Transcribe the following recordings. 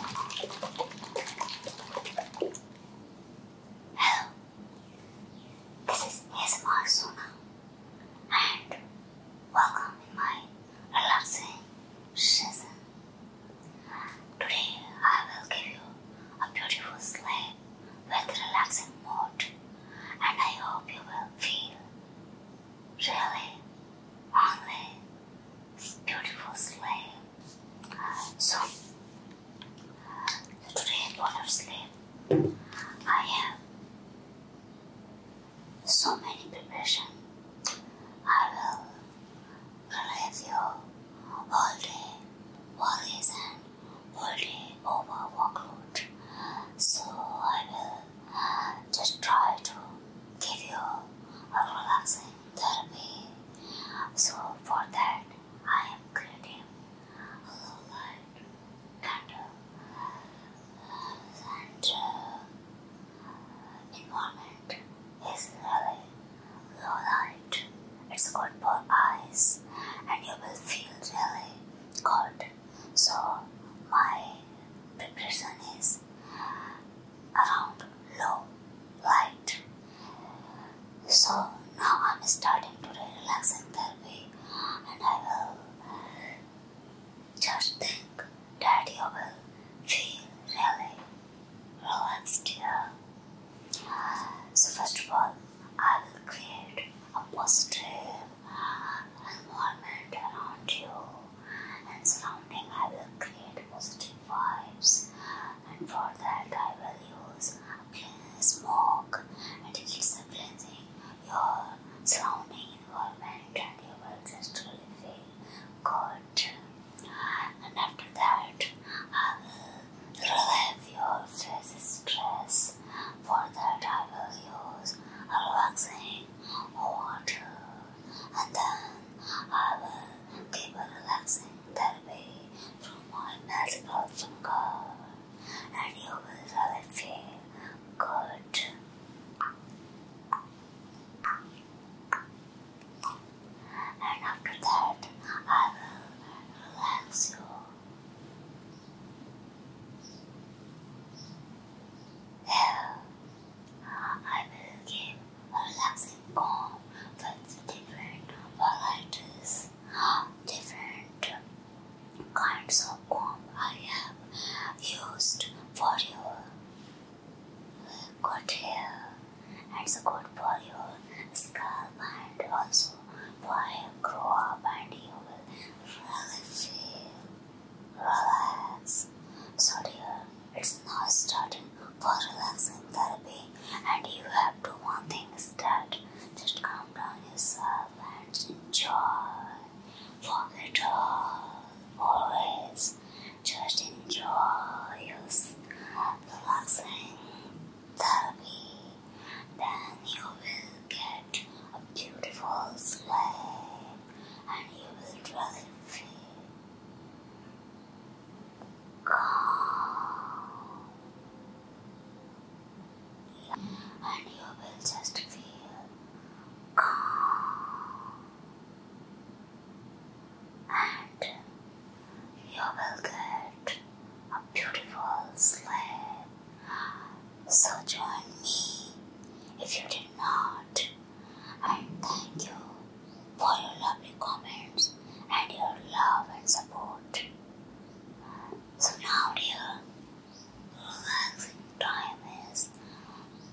Hello, this is ASMR Sona and welcome in my relaxing season. Today I will give you a beautiful sleep with relaxing mode and I hope you will feel really only beautiful sleep. So, today I I have so many preparation. I will relieve you all day worries and all day over workload. So I will just try to give you a relaxing Darby. So for that I am creating a light candle and environment is really low light. It's good for eyes and you will feel really good. So my preparation is around low light. So now I'm starting to relaxing therapy and I will just think that you will feel really relaxed here. So first of all, I will create a positive environment around you and surrounding, I will create positive vibes. And for that, I will use a clean smoke. And it's a cleansing your surrounding environment, and you will just really feel good. And after that, I will relieve your face stress. For that, I will use a relaxing water and then uh, I will give a relaxing therapy through my magical finger, and you will really feel good. And after that, I will relax you. Here, I will give relaxing calm with different varieties, different kinds of comb I have used for your good hair and it's good for your scalp and also for your grow and you will feel Relax. So dear, it's not starting for relaxing therapy and you have to want things that just calm down yourself and enjoy. Forget all, always. Just enjoy your relaxing therapy. Then you will get a beautiful sleep and you will really feel calm. And you will just feel calm. And you will get a beautiful sleep. So join me if you did not and thank you for your lovely comments and your love and support. So now, dear, relaxing time is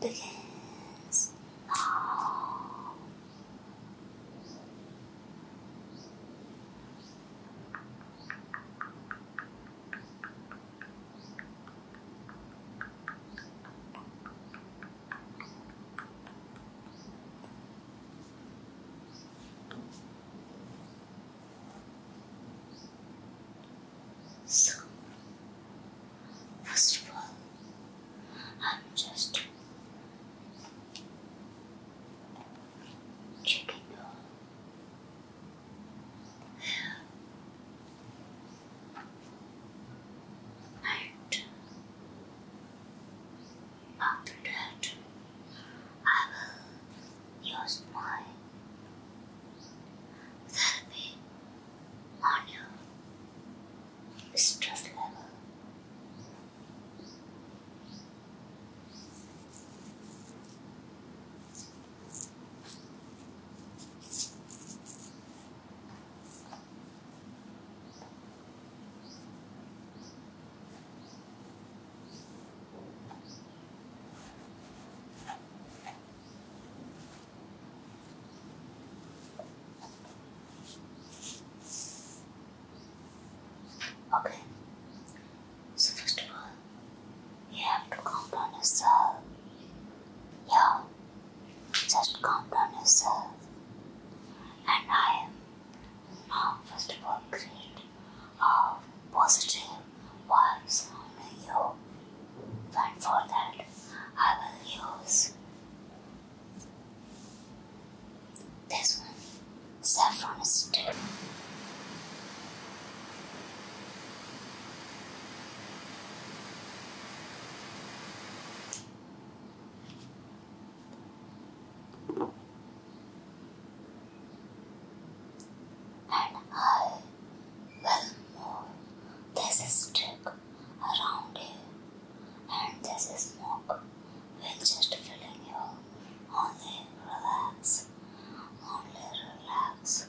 begins now. So, first of all, I'm just checking your Note. After that, I will use my therapy on your stress level. Okay, so first of all, you have to count on yourself. Yeah, just calm down yourself. And I am now, first of all, great of positive vibes on you. And for that, I will use this one saffron stick. And I will move this stick around you, and this smoke will just fill in you. Only relax, only relax.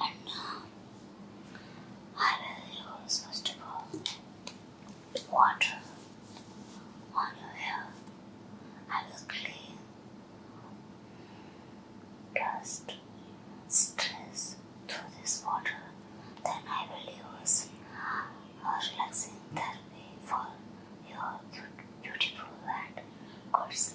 And now, I will use first of water on your hair. I will clean dust, stress through this water. Then I will use a relaxing therapy for your beautiful and God's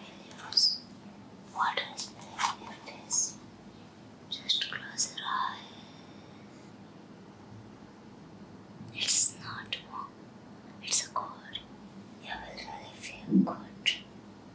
Williams, what is on your face? Just close your eyes. It's not warm, it's a cold. You will really feel good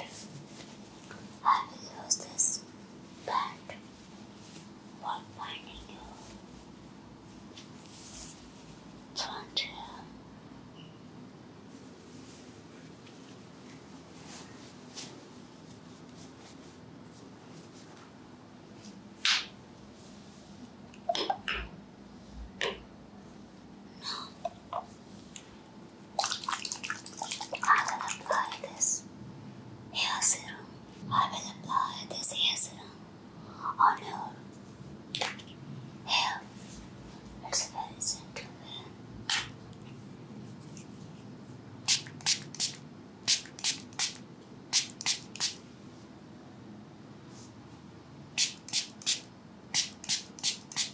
and I will use this bat for finding your frontier. Now, I will apply this hair serum. I will apply this hair serum on your hair. It's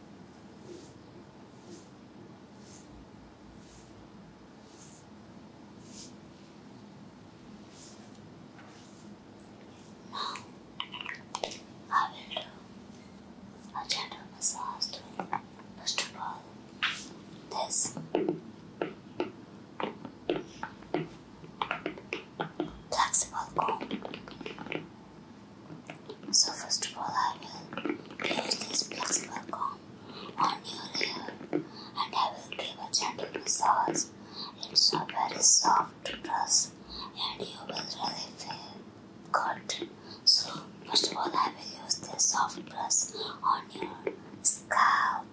Now, I will do a gentle massage to it. all, this flexible comb. So first of all I will use this flexible comb on your hair and I will give a gentle massage. It's a very soft brush and you will really feel good. So first of all I will use this soft brush on your scalp.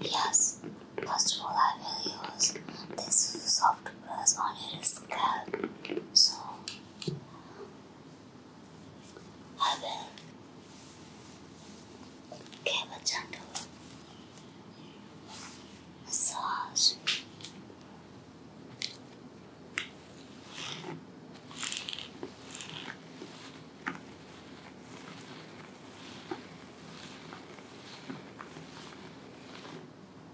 Yes, first of all I will use this soft was on his scalp, so I will give a gentle massage.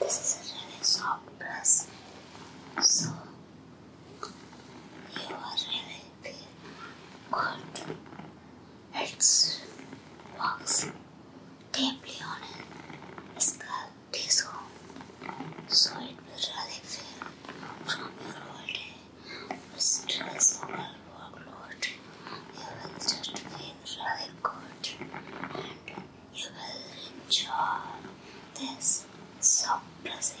This is a really soft brush, so you are really we could. Its walks deeply on it. a scalp tissue, so it will really feel from your whole day with stress or workload. You will just feel really good and you will enjoy this so pleasant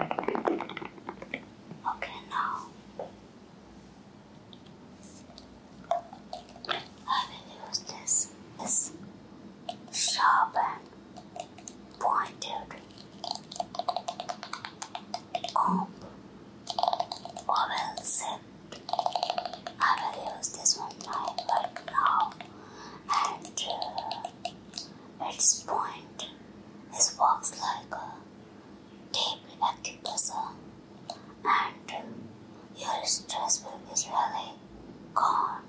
Okay, now I will use this, this sharp and pointed comb or else I will use this one now and uh, its point is works like a tape recorder, pressure and your stress will be really gone.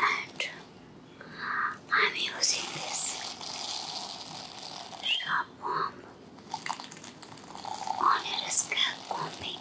And I'm using this sharp onerous combing.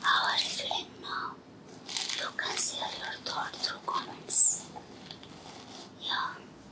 How are you now? You can share your thought through comments. Yeah.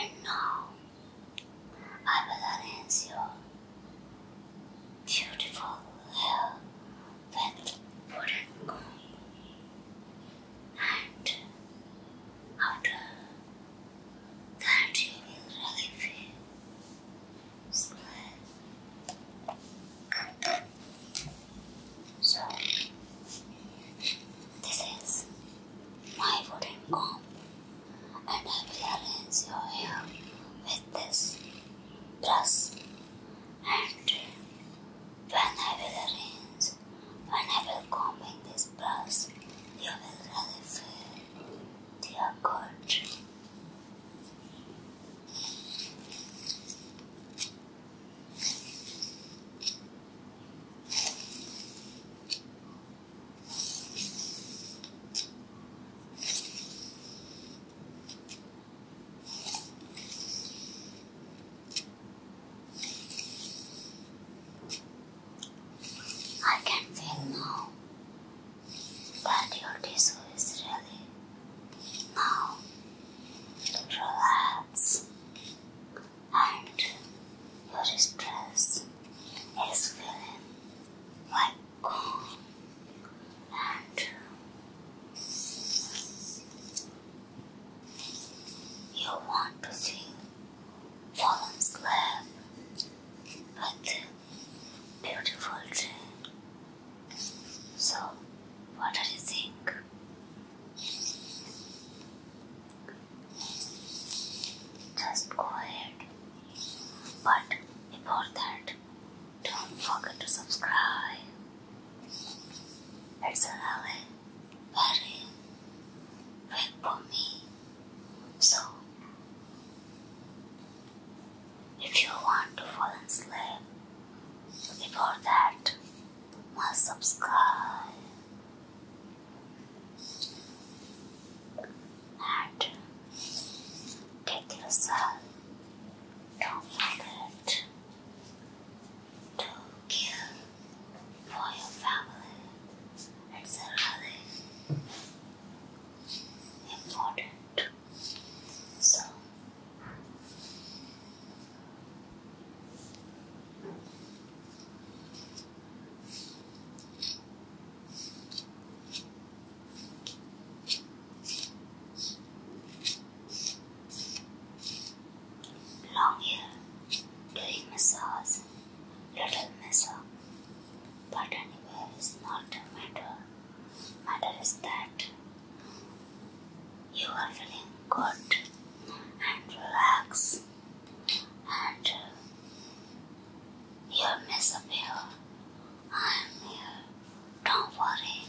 And now I will arrange your beautiful hair uh, with wooden comb. And after that, you will really feel sleep. So, this is my wooden comb, and I will arrange your hair with this brush. And when I will arrange, when I will combing this brush, you will really feel the God. I can feel now that your tissue is ready. Now relax and your stress is feeling like calm and you want to feel but beautiful day. So what do you think? Just go ahead. But before that, don't forget to subscribe. It's another very big for me. So, if you want to fall asleep before that, must subscribe and take care Don't forget to care for your family. It's really important. So Long hair, doing massage, little mess up. But anyway, it's not a matter. Matter is that you are feeling good and relax and you miss a pill. I'm here. Don't worry.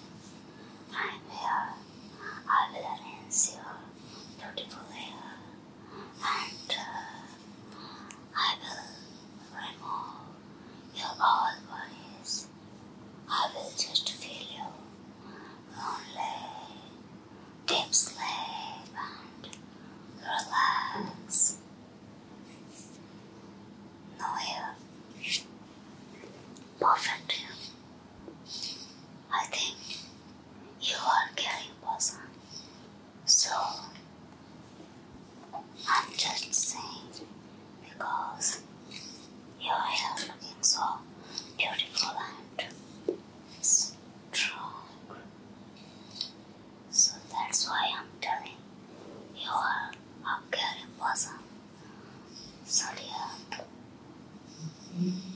I'm here. I will arrange your beautiful hair and uh, I will remove your all worries. I will just feel you lonely, deep sleep and relax. Now here, perfect. I think you are getting person. So I'm just saying because your hair looking so beautiful and strong. So that's why I'm telling you are a caring person. So dear. Mm -hmm.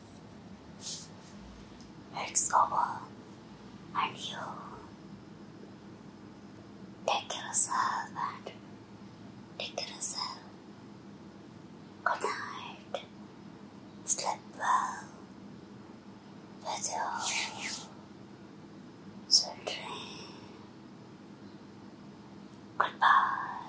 It's over and you take yourself and take yourself. Good night. Sleep well with your children. Goodbye.